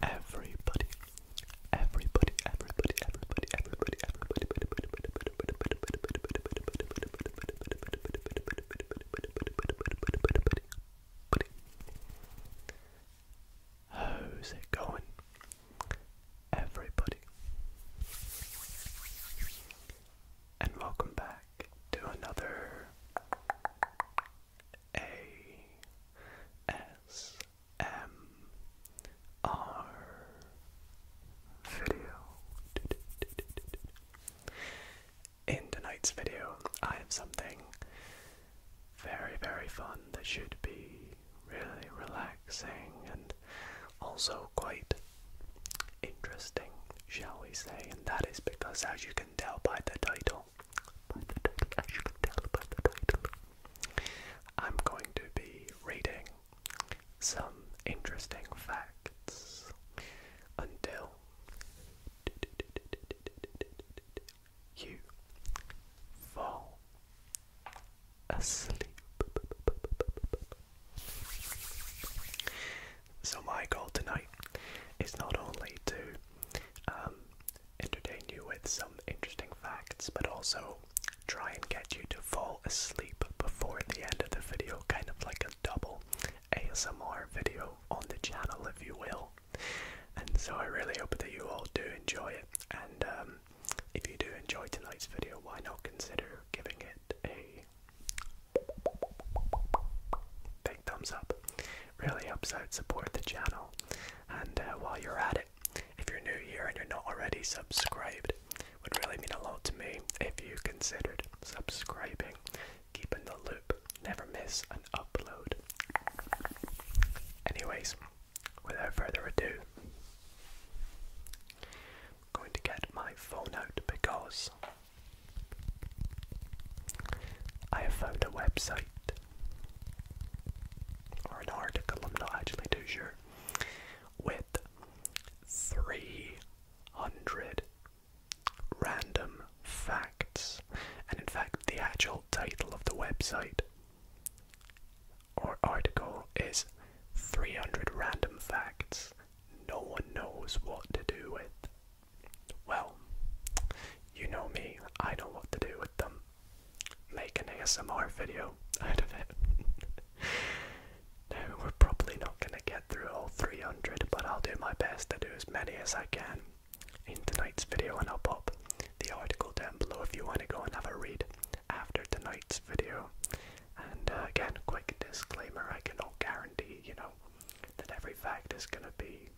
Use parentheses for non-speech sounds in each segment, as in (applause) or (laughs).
Everybody, everybody, everybody, everybody, everybody, everybody, everybody, How's it going? Everybody. And welcome back to another A S M R video. In tonight's video, I have something very, very fun. That should be really relaxing and also quite interesting, shall we say. And that is because, as you can tell by the title, as you can tell by the title, I'm going to be reading some interesting facts until you fall asleep. So, my goal tonight is not only to um, entertain you with some interesting facts, but also try and get you to fall asleep before the end of the video, kind of like a double ASMR video on the channel, if you will. And so, I really hope that you all do enjoy it. And um, if you do enjoy tonight's video, why not consider giving it a big thumbs up? Really helps out support the channel. And uh, while you're at it, if you're new here and you're not already subscribed, would really mean a lot to me if you considered subscribing, keeping the loop, never miss an upload. Anyways, without further ado, I'm going to get my phone out because I have found a website or an article, I'm not actually too sure, with 300 random facts. And in fact, the actual title of the website our article is 300 random facts no one knows what to do with. Well, you know me, I know what to do with them. Make an ASMR video out of it. (laughs) now, we're probably not going to get through all 300, but I'll do my best to do as many as I can in tonight's video, and I'll pop the article down below if you want to go and have a read after tonight's video. And uh, again, quick disclaimer I cannot guarantee, you know, that every fact is going to be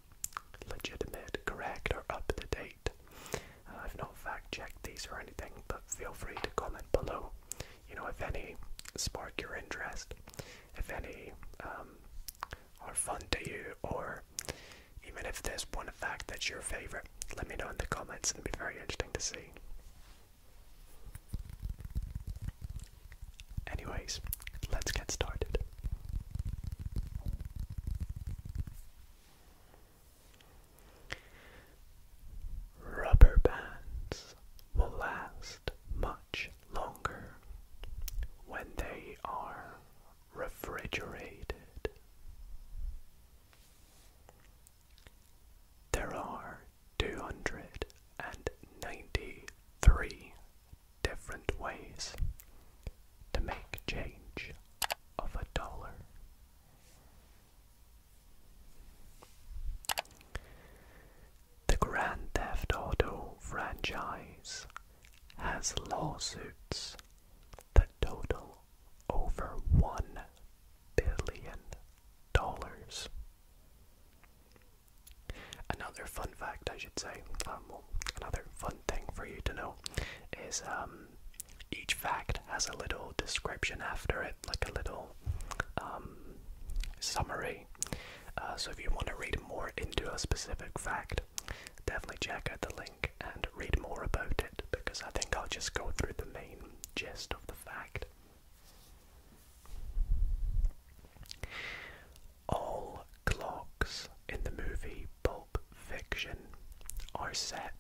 legitimate, correct, or up to date. Uh, I've not fact checked these or anything, but feel free to comment below, you know, if any spark your interest, if any um, are fun to you, or even if there's one fact that's your favorite, let me know in the comments. It'll be very interesting to see. Anyways, let's get started. Rubber bands will last much longer when they are refrigerated. There are 293 different ways to make change of a dollar. The Grand Theft Auto franchise has lawsuits the total over one billion dollars. Another fun fact, I should say, um, another fun thing for you to know is um, each fact has a little description after it, like a little um, summary. Uh, so if you want to read more into a specific fact, definitely check out the link and read more about it because I think I'll just go through the main gist of the fact. All clocks in the movie Pulp Fiction are set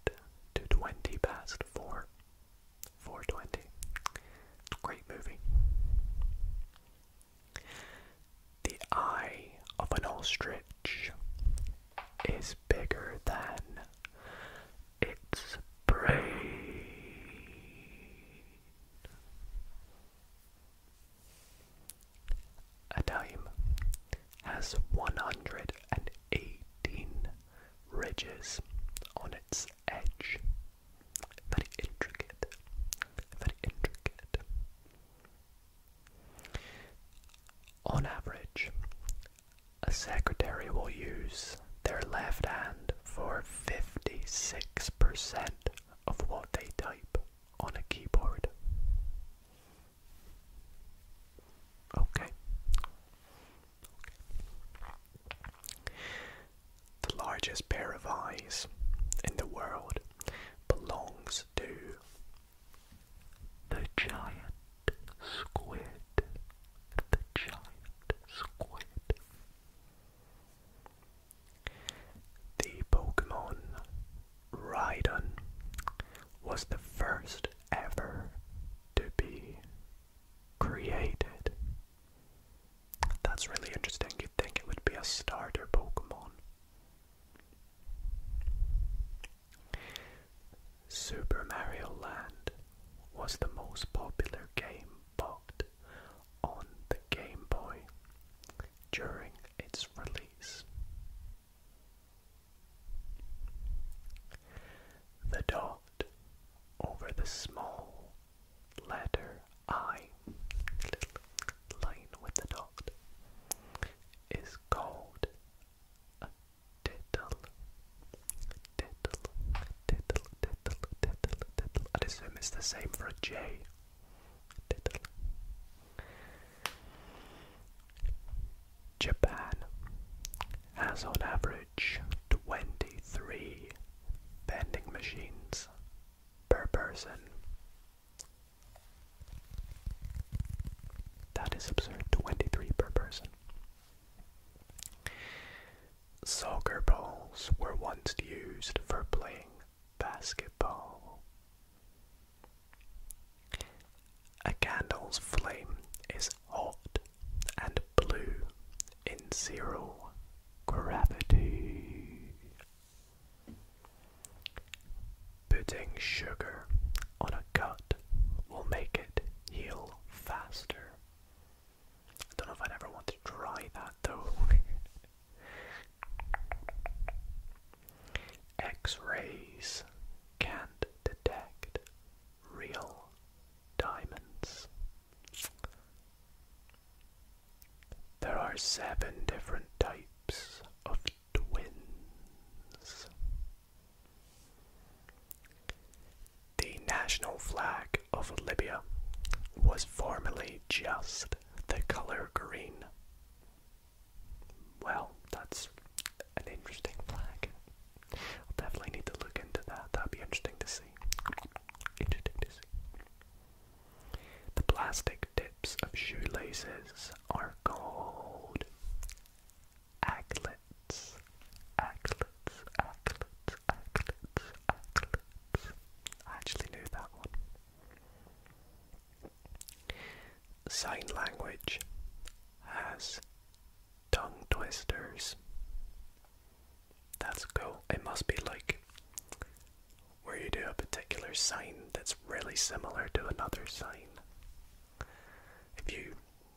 to 20 past 4. 420. Great movie. The eye of an ostrich is bigger than its brain. A dime has 118 ridges on its edge. Very intricate. Very intricate. On average, a secretary will use their left hand for 56% of what they type on a keyboard. Okay. The largest pair of eyes in the world belongs to the giant squid. The giant squid. The Pokemon Rhydon was the first ever to be created. That's really interesting. You'd think it would be a starter Pokemon. Super Mario Land was the most popular game bought on the Game Boy during its release. The dot over the small letter I, line with the dot, is called a tittle. Tittle, tittle, tittle, tittle, tittle. I'd assume it's the same for a J. Japan has on average 23 vending machines per person. That is absurd. 23 per person. Soccer balls were once used for playing basketball. A candle's flame is hot and blue in zero gravity. Putting sugar on a cut will make it heal faster. I don't know if I'd ever want to try that though. (laughs) X-rays can't detect real diamonds. There are seven different types of twins. The national flag of Libya was formerly just the color green. Well, that's an interesting flag. i definitely need to look into that. That'd be interesting to see. Interesting to see. The plastic tips of shoelaces are called aglets. Aglets, aglets, aglets, aglets. I actually knew that one. Sign language has tongue twisters. That's cool. It must be like where you do a particular sign that's really similar to another sign. If you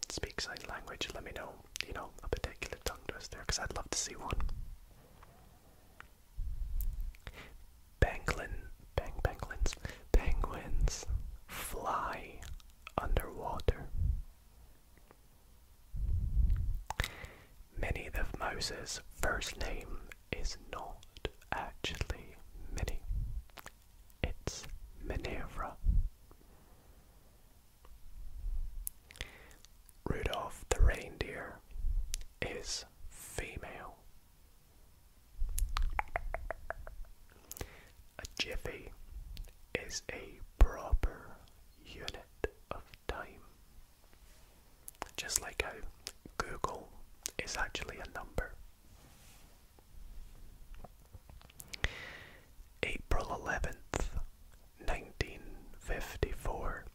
speak sign language, let me know, you know, a particular tongue there, because I'd love to see one. Penguin, bang, penguins, penguins fly underwater. Many of Moses' first name is not actually Minnie, it's Minerva. Rudolph the reindeer is female. A jiffy is a proper unit of time. Just like how Google is actually a number. April 11th, 1954,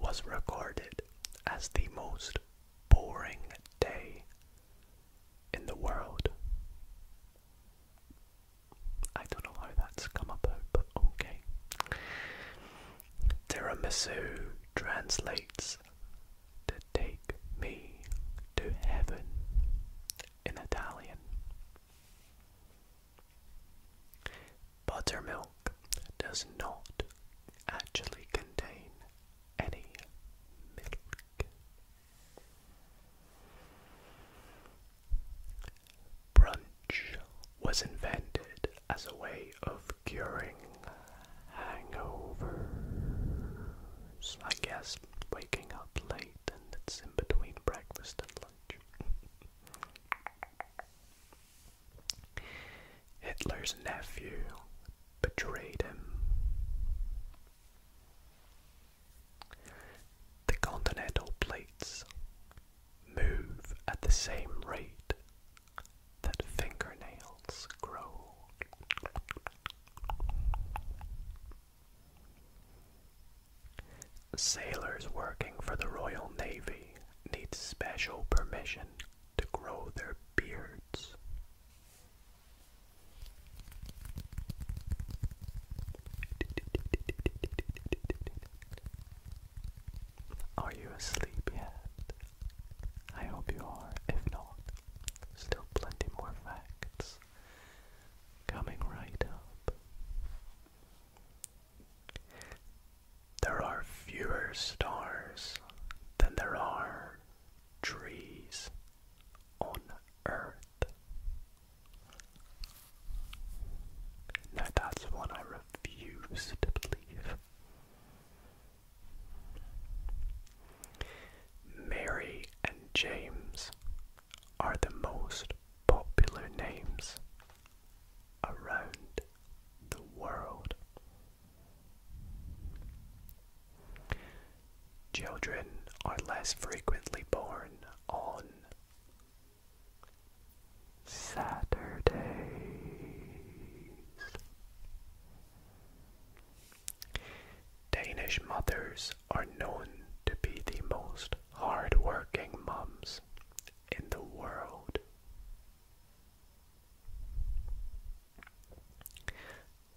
was recorded as the most boring day in the world. I don't know how that's come about, but okay. Tiramisu translates to take me to heaven in Italian. Buttermilk does not actually contain any milk. Brunch was invented as a way of curing hangovers. I guess waking up late and it's in between breakfast and lunch. Hitler's nephew betrayed him. The continental plates move at the same rate that fingernails grow. Sailors working for the Royal Navy need special permission to grow their beards. Are you asleep yet? I hope you are. If not, still plenty more facts coming right up. There are fewer stars than there are trees on Earth. Now that's one I refuse to believe. Mary and James are the most popular names around the world. Children are less frequently born on Saturdays. Danish mothers are known to be the most hard mums in the world.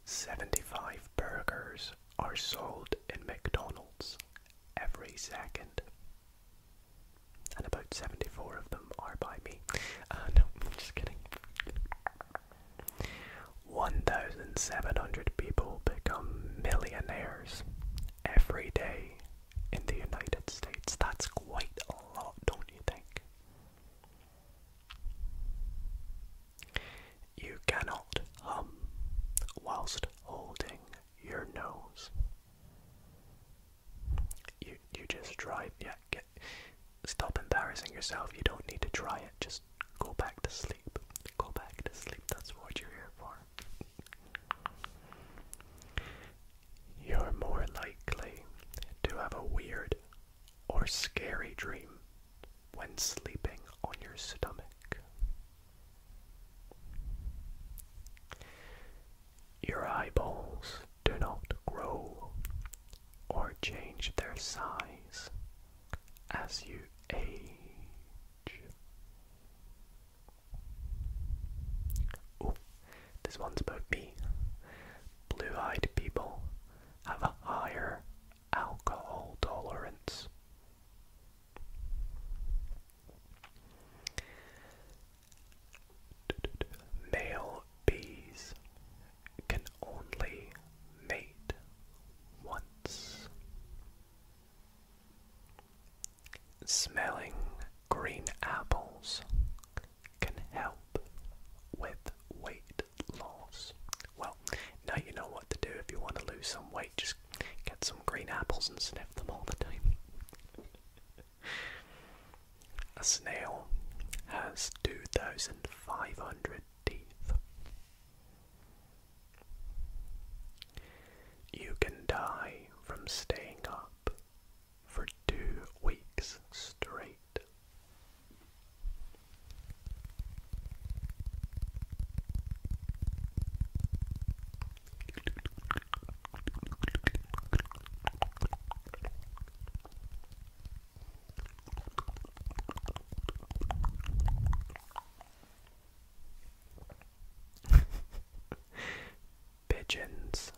Seventy-five burgers are sold in McDonald's every second and about 74 of them are by me. Uh, (laughs) no, I'm just kidding. 1,700 people become millionaires every day in the United States. That's quite a lot, don't you think? You cannot hum whilst holding your nose. You you just try yeah, stop embarrassing yourself. You don't need to try it. Just go back to sleep. Go back to sleep. That's what you're here for. You're more likely to have a weird or scary dream when sleeping on your stomach. Your eyeballs do not grow or change their size as you age. Oh, this one's about me. Blue eyed people have a higher alcohol tolerance. Male bees can only mate once. Smelling green apples can help with weight loss. Well, now you know what to do if you want to lose some weight. Just get some green apples and sniff them all the time. A snail has 2,500 teeth. You can die from staying up for two weeks straight. Pigeons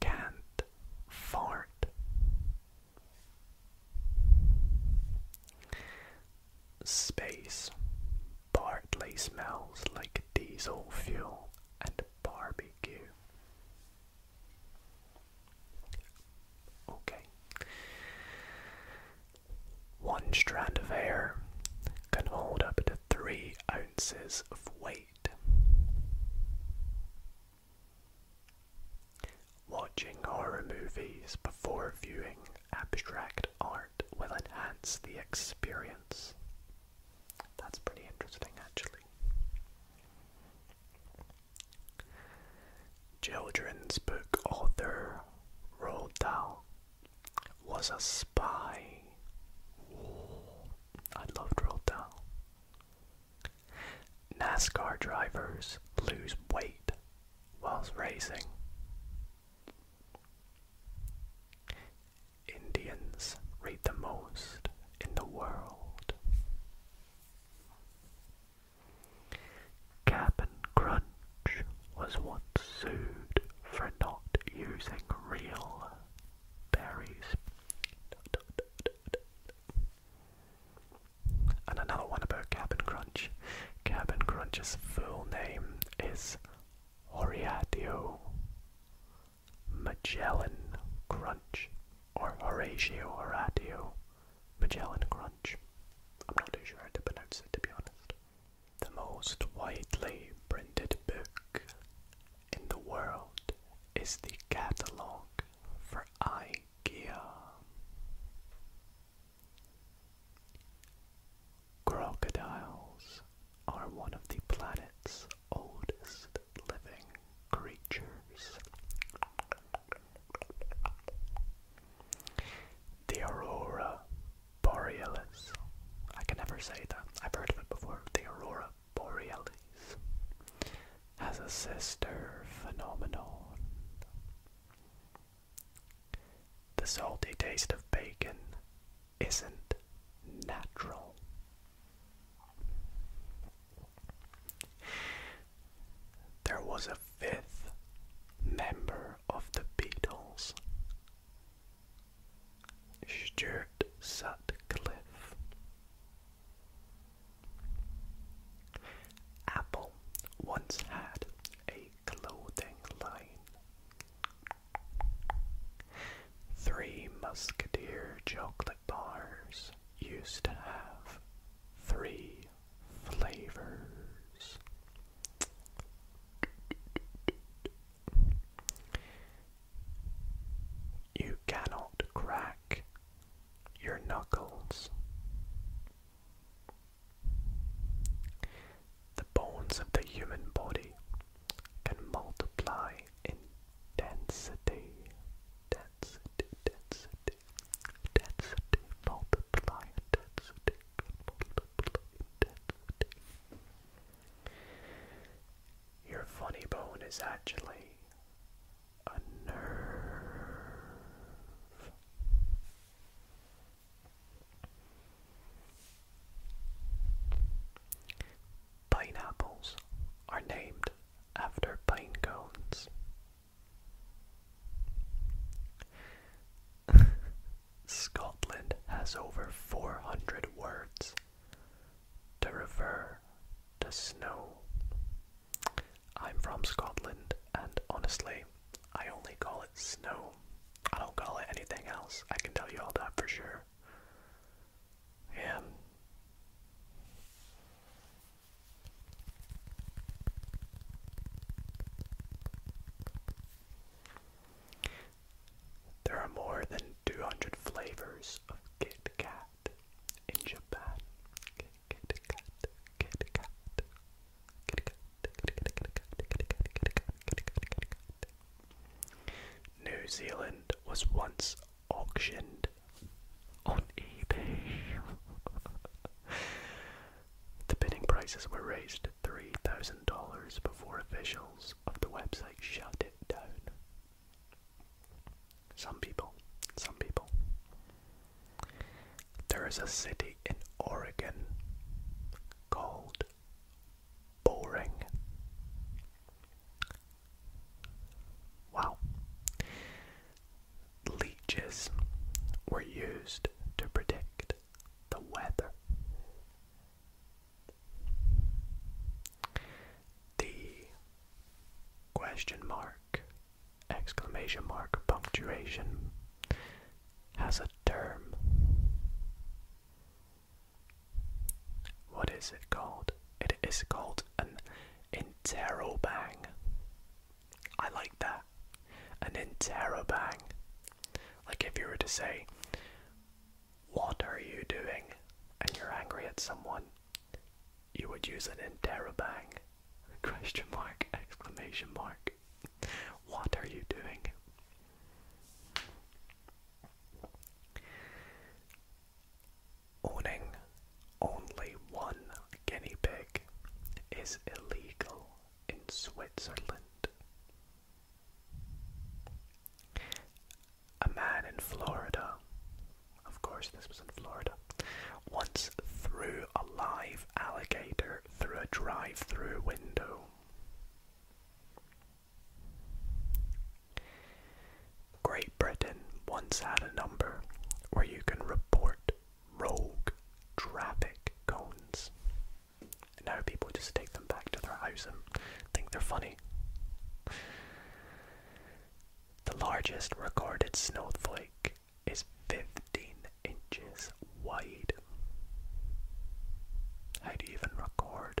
can't fart. Space partly smells like diesel fuel and Barbie Okay. One strand of hair can hold up to three ounces of weight. Watching horror movies before viewing abstract art will enhance the experience. That's pretty interesting, actually. Children's book author Roald Dahl was a spy. I loved Roald Dahl. NASCAR drivers lose weight whilst racing. Indians read the most in the world. Cabin Crunch was once sued for not using real berries. And another one about Cap'n Crunch. Cap'n Crunch's full name is Oriatio Magellan Crunch or Horatio Horatio Magellan Crunch. I'm not too sure how to pronounce it to be honest. The most widely printed book in the world is the catalogue for IKEA. Crocodiles are one of the planet's oldest living creatures. The Aurora Borealis. I can never say that. I've heard of it before. The Aurora Borealis has a sister phenomenon. The salty taste of bacon isn't natural. There was a fifth member of the Beatles, Stuart Sutcliffe. Apple once had a clothing line Three Musketeer chocolate bars used to have three flavors. You cannot crack your knuckles. The bones of the human body can multiply in density. Density, density, Your funny bone is actually a nerve. Pineapples are named after pine cones. (laughs) Scotland has over 400 words to refer to snow. I'm from Scotland, and honestly, I only call it snow. I don't call it anything else, I can tell you all that for sure. Yeah. There are more than 200 flavors of Kit Kat in Japan. New Zealand was once auctioned on eBay. the bidding prices were raised to $3,000 before officials of the website shut it down. Some people, some people. There is a city in Oregon called boring. Wow. Leeches were used to predict the weather. The question mark, exclamation mark, punctuation has a term. What is it called? It is called an interrobang. I like that. An interrobang. Like if you were to say, What are you doing? and you're angry at someone, you would use an interrobang. (laughs) Question mark, exclamation mark. (laughs) What are you doing? Owning only one guinea pig is illegal in Switzerland. A man in Florida, of course, this was in Florida, once threw a live alligator through a drive through window. Great Britain once had a number where you can report rogue traffic cones. And now people just take them back to their house and think they're funny. The largest recorded snowflake is 15 inches wide. How do even record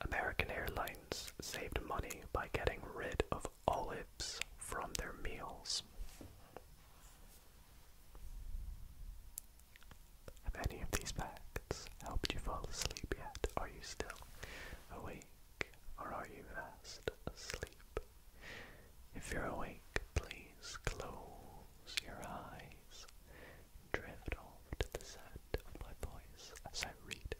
American Airlines saved money by getting rid of olives from their meals. Have any of these facts helped you fall asleep yet? Are you still awake or are you fast asleep? If you're awake, please close your eyes drift off to the sound of my voice as I read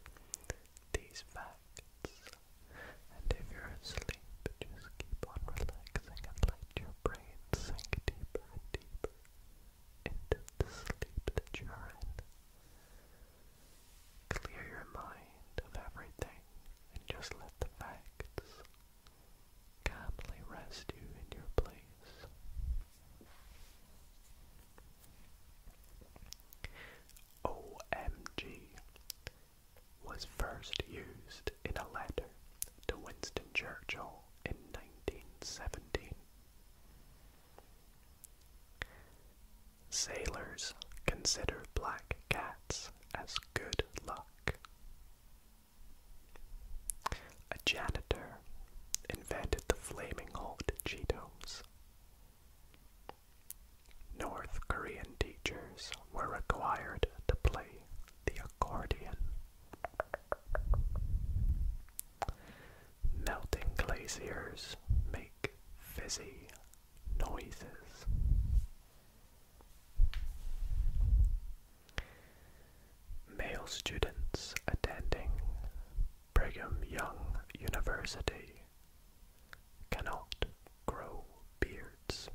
these facts. And if you're asleep, just keep on relaxing and let your brain sink deeper and deeper into the sleep that you're in. Clear your mind of everything and just let the facts calmly rest you in your place. OMG was first used in a letter to Winston Churchill in 1917. Sailors consider black cats as good luck. A janitor invented the flaming hot Cheetos. North Korean teachers were required to play the accordion. Melting glaciers make fizzy noises. Male students attending Brigham Young University cannot grow beards.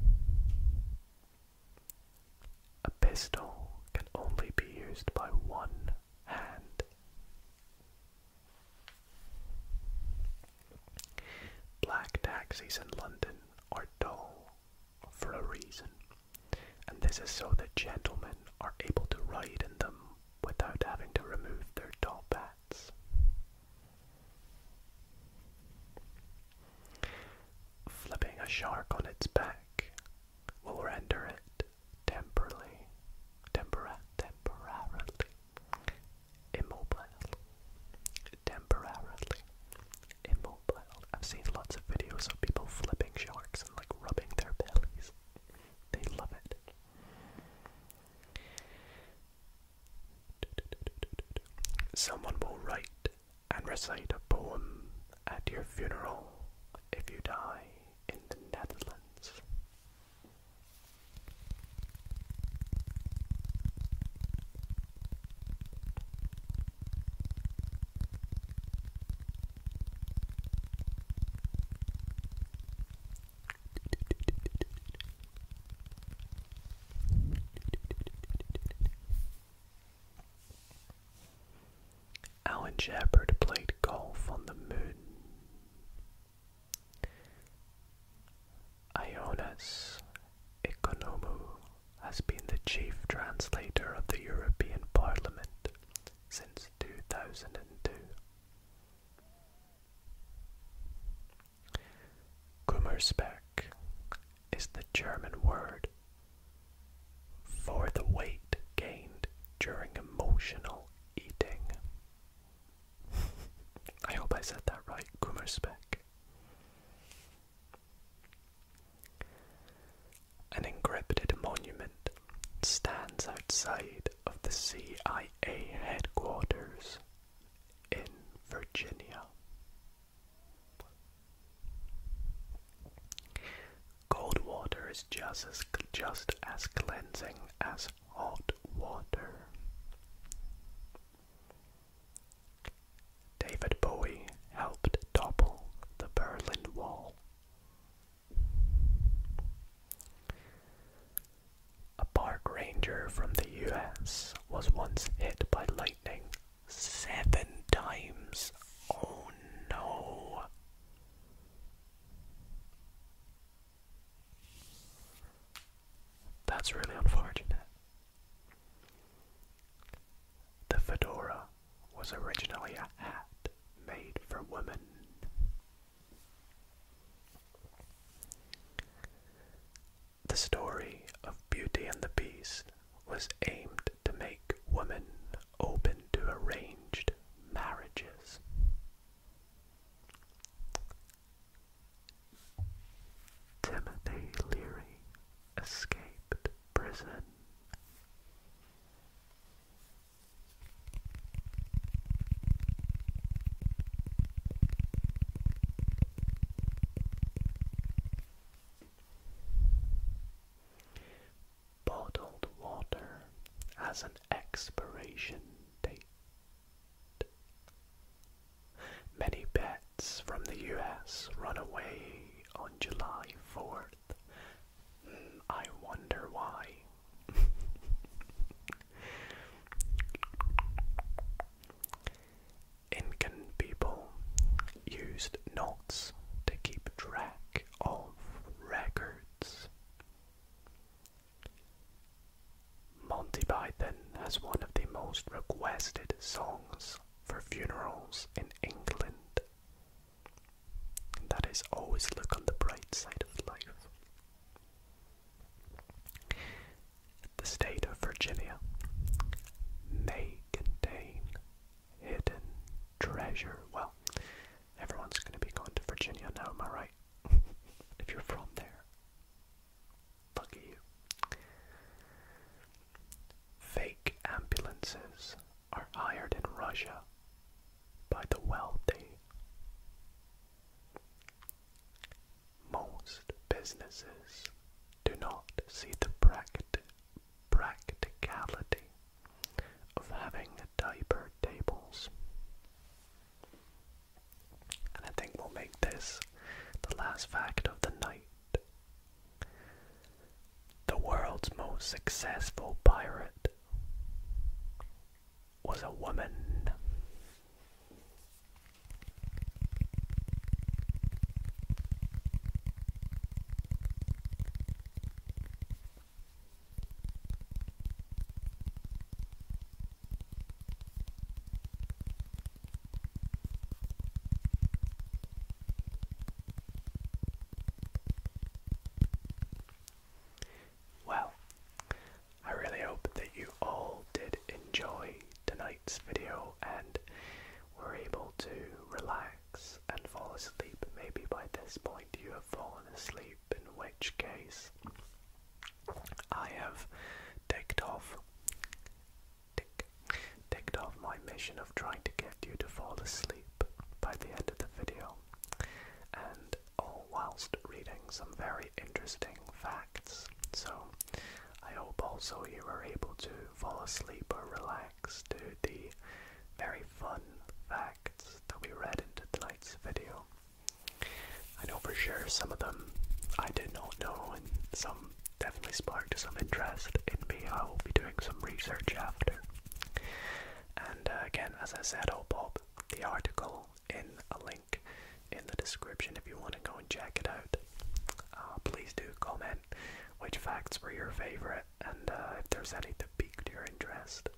A pistol can only be used by one hand. Black taxis in London are dull for a reason and this is so that gentlemen are able to ride in them without having to remove their top hats. Flipping a shark on its back will render it temporarily, tempora, temporarily immobile. Temporarily immobile. I've seen lots of videos of people flipping sharks, and like rubbing their bellies. They love it. Someone will write and recite a poem at your funeral if you die in the Netherlands. Alan Shepard played golf on the moon. Ionas Economou has been the chief translator of the European Parliament since 2002. is the German word for the weight gained during emotional eating. (laughs) I hope I said that right, Gummerspeck. An encrypted monument stands outside of the CIA headquarters in Virginia. Cold water is just as, just as cleansing as hot water. David Bowie helped topple the Berlin Wall a park ranger from the US was once hit by lightning seven times. Oh no. That's really unfortunate. The fedora was originally a hat made for women. The story of Beauty and the Beast was aimed to make women open to arranged marriages. Timothy Leary escaped prison Bottled water has an expiration date. Many bets from the US run away on July 4th I wonder why. Incan people used knots to keep track of records. Monty Python has one of the most requested songs for funerals in England that is, always look on the bright side of life. The state of Virginia may contain hidden treasure. Well, everyone's going to be going to Virginia now, am I right? (laughs) if you're from there, lucky you. Fake ambulances are hired in Russia by the wealthy. Most businesses do not see the practicality of having diaper tables. And I think we'll make this the last fact of the night the world's most successful pirate was a woman. Well, I really hope that you all did enjoy tonight's video and were able to relax and fall asleep. Maybe by this point you have fallen asleep, in which case I have ticked off ticked off my mission of trying to get you to fall asleep by the end of the video, and all oh, whilst reading some very interesting facts. So, I hope also you were able to fall asleep or relax to the very fun facts that we read into tonight's video. I know for sure some of them I did not know, and some definitely sparked some interest in me. I will be doing some research after. And uh, again, as I said, I'll pop the article in a link in the description if you want to go and check it out. Uh, please do comment which facts were your favorite and uh, if there's any that piqued your interest.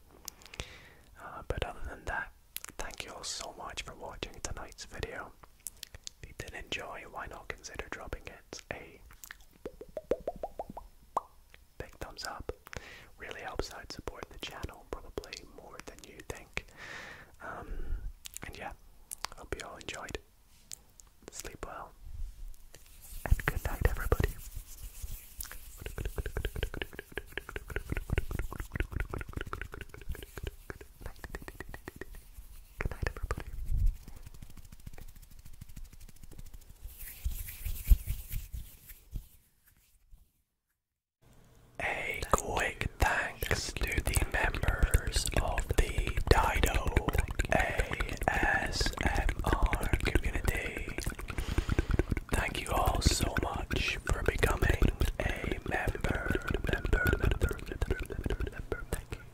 but other than that, thank you all so much for watching tonight's video. If you did enjoy, why not consider dropping it a big thumbs up. Really helps out support the channel, probably more than you think. Um, and yeah, hope you all enjoyed. Sleep well. And good night, everybody. A quick thanks to the members of the Dido ASMR community. Thank you all so much for becoming a member. member, member, member, member, member.